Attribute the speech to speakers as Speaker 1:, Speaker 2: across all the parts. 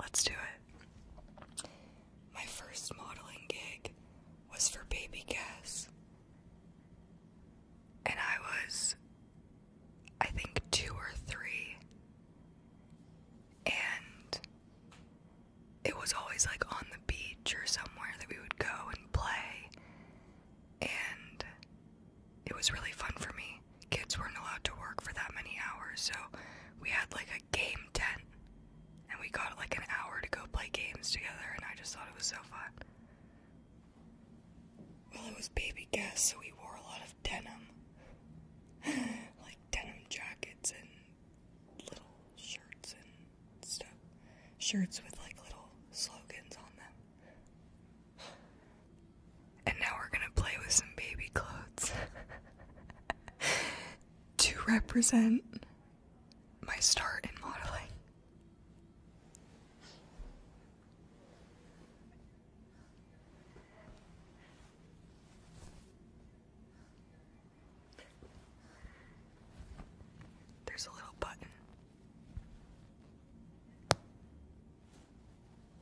Speaker 1: Let's do it. My first modeling gig was for Baby Guess. And I was, I think, two or three. And it was always like on the beach or somewhere that we would go and play. And it was really fun for me. Kids weren't allowed to work for that many hours, so we had like a game tent and we got like an hour to go play games together, and I just thought it was so fun. Well, it was baby guests, so we wore a lot of denim. like denim jackets and little shirts and stuff. Shirts with like little slogans on them. And now we're gonna play with some baby clothes to represent my start in modeling. There's a little button.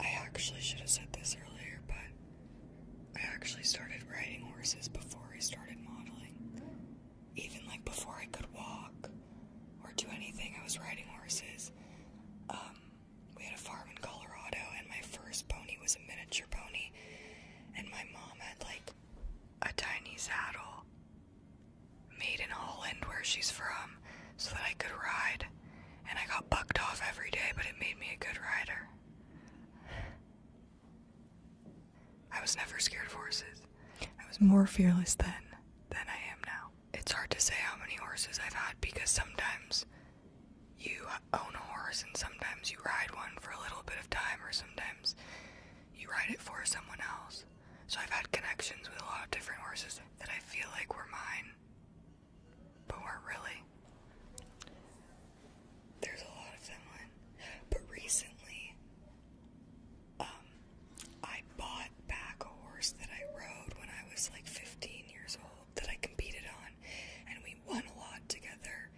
Speaker 1: I actually should have said this earlier, but I actually started riding horses before I started modeling. Even like before I could walk or do anything, I was riding horses. Um, we had a farm in Colorado, and my first pony was a miniature pony, and my mom had like a tiny saddle made in Holland, where she's from so that I could ride. And I got bucked off every day, but it made me a good rider. I was never scared of horses. I was more fearless then than I am now. It's hard to say how many horses I've had because sometimes you own a horse and sometimes you ride one for a little bit of time or sometimes you ride it for someone else. So I've had connections with a lot of different horses that I feel like were mine but weren't really. There's a lot of Finland, but recently, um, I bought back a horse that I rode when I was like 15 years old that I competed on, and we won a lot together.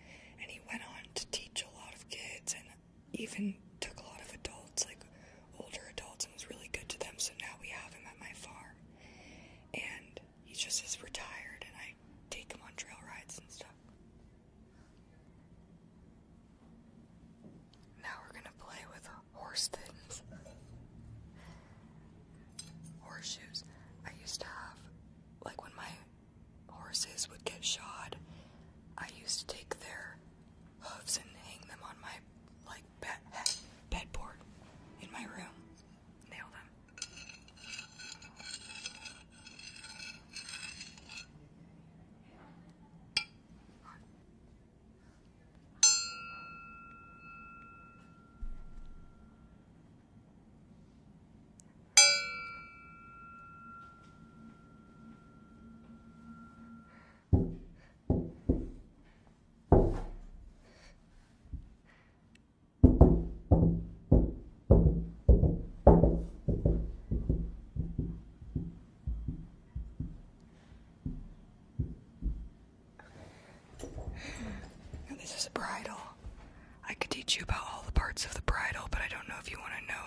Speaker 1: And he went on to teach a lot of kids, and even took a lot of adults, like older adults, and was really good to them. So now we have him at my farm and he just is retired, and I take him on trail rides and stuff. Now we're gonna play with horse fins, horseshoes. I used to have, like, when my horses would get shod, I used to take their hooves and hang them on my, like, bed, bedboard in my room. Nailed him. This is a bridle. I could teach you about all the parts of the bridle, but I don't know if you want to know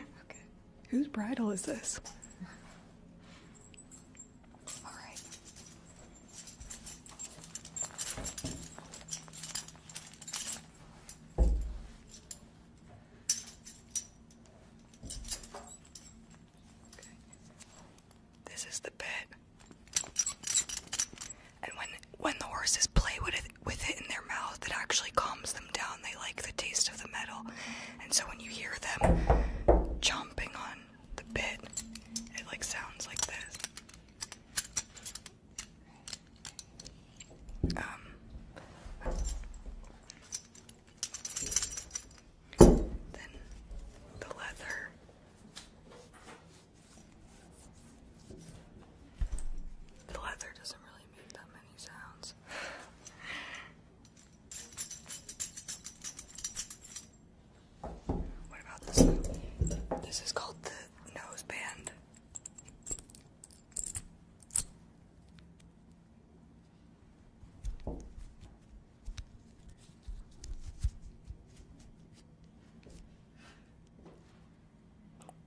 Speaker 1: it. okay. Whose bridle is this? All right. This is the bed. And when when the horses play with it with it in their mouth, it actually calms them down. They like the taste of the metal. And so when you hear them chomping on the bit, it like sounds like this. Um, then the leather. The leather doesn't really make that many sounds. What about this This is called the nose band.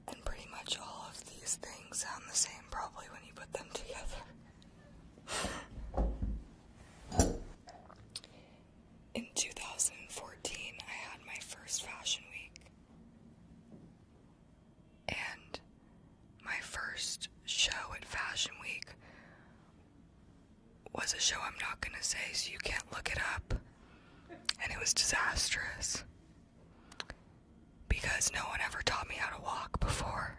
Speaker 1: And pretty much all of these things sound the same probably when you put them together. In 2014, I had my first fashion week and my first show at Fashion Week was a show I'm not going to say, so you can't look it up. And it was disastrous because no one ever taught me how to walk before.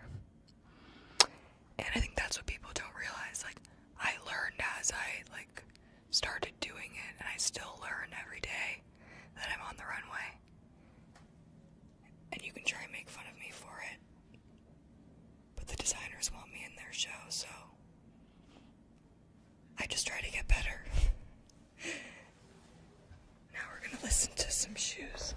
Speaker 1: And I think that's what people don't realize. Like, I learned as I like started doing it, and I still learn every day that I'm on the runway. And you can try and make fun of me for it. But the designers want me in their show, so I just try to get better. now we're gonna listen to some shoes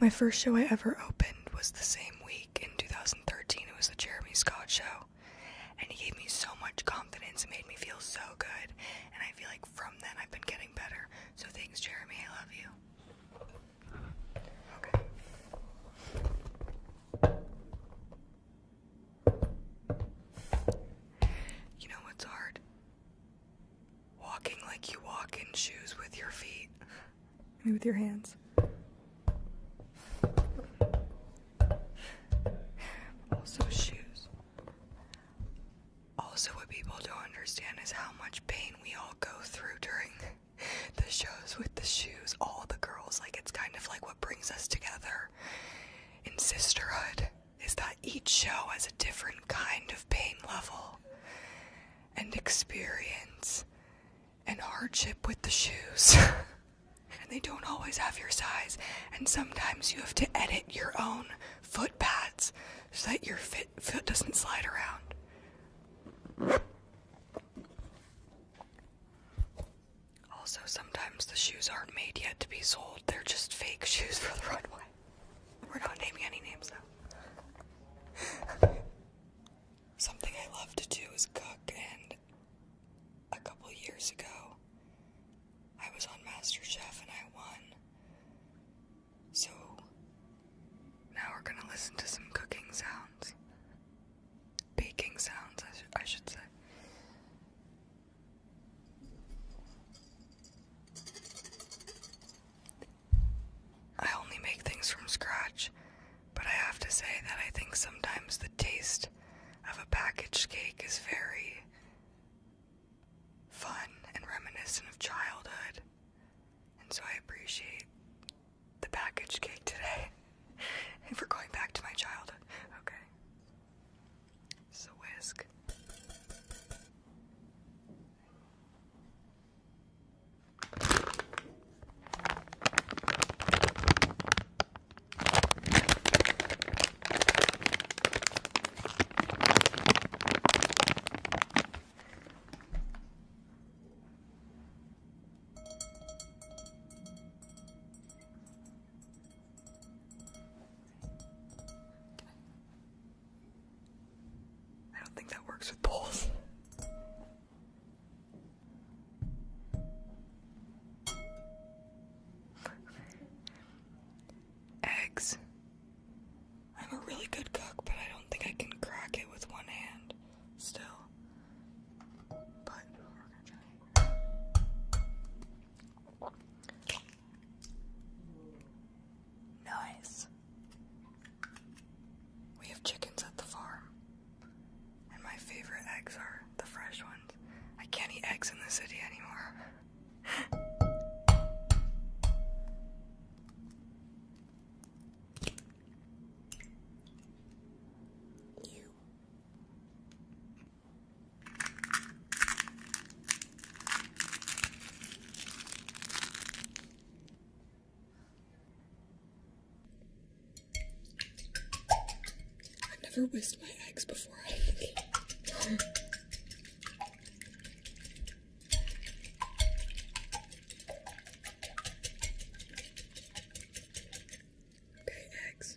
Speaker 1: my first show I ever opened was the same week in 2013. It was the Jeremy Scott show. And he gave me so much confidence. It made me feel so good. And I feel like from then I've been getting better. So thanks, Jeremy. I love you. You know what's hard? Walking like you walk in shoes with your feet. And with your hands. Also, shoes. Also, what people don't understand is how much pain we all go through during the shows with the shoes. All the girls, like, it's kind of like what brings us together in sisterhood is that each show has a different kind of pain level and experience and hardship with the shoes. and they don't always have your size, and sometimes you have to edit your own foot pads so that your foot doesn't slide around. Also, sometimes the shoes aren't made yet to be sold, they're just fake shoes for the runway. We're not naming any names Something I love to do is cook, and a couple years ago, I was on MasterChef and I won. So now we're gonna listen to some cooking sounds. Baking sounds, I, sh I should say. I only make things from scratch, but I have to say that I think sometimes the taste of a packaged cake is very fun and reminiscent of childhood. And so I appreciate the packaged cake today. and for going back to my childhood, okay. So whisk. I don't think that works with poles. Eggs. I'm a really good cook, but I don't think I can crack it with one hand still. But Nice. We have chickens at the farm. And my favorite eggs are the fresh ones. I can't eat eggs in the city anymore. You. I've never whisked my eggs before. Okay, eggs.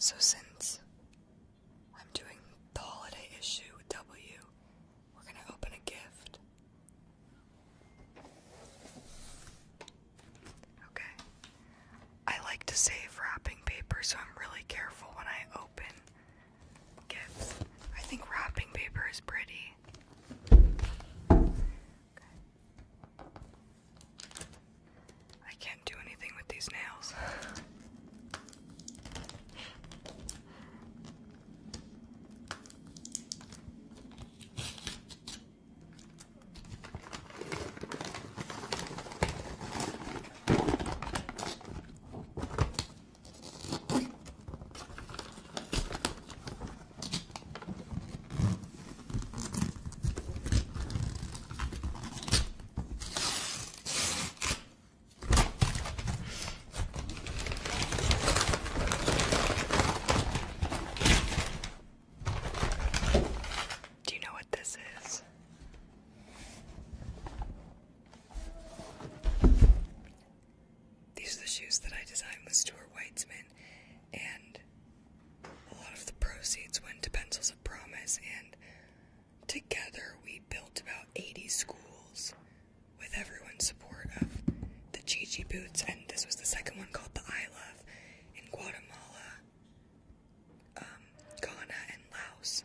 Speaker 1: So since I'm doing the holiday issue with W, we're going to open a gift. Okay. I like to save wrapping paper, so I'm really careful when I open I think wrapping paper is pretty. I can't do anything with these nails. Do you know what this is? These are the shoes that I designed with Stuart Weitzman, and a lot of the proceeds went to Pencils of Promise, and together we built about 80 schools with everyone's support of the Gigi boots, and this was the second one called the I Love in Guatemala, um, Ghana, and Laos.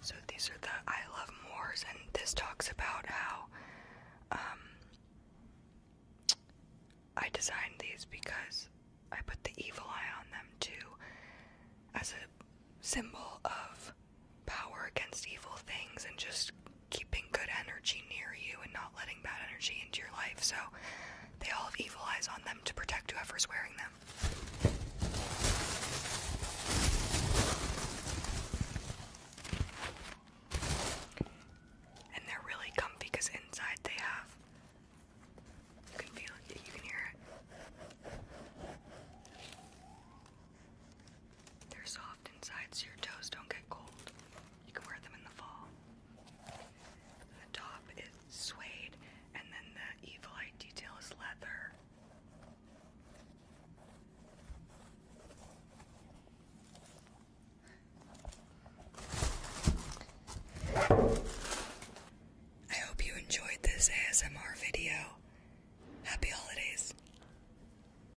Speaker 1: So these are the I Love Moors, and this talks about how um, I designed these because I put the evil eye on them too as a symbol of power against evil things and just keeping good energy near you and not letting bad energy into your life. So they all have evil eyes on them to protect whoever's wearing them. And they're really comfy because inside they have you can feel it, you can hear it. They're soft inside so your toes don't get cold. You can wear them in the fall. the top is suede, and then the evil eye detail is leather. I hope you enjoyed this ASMR video. Happy holidays.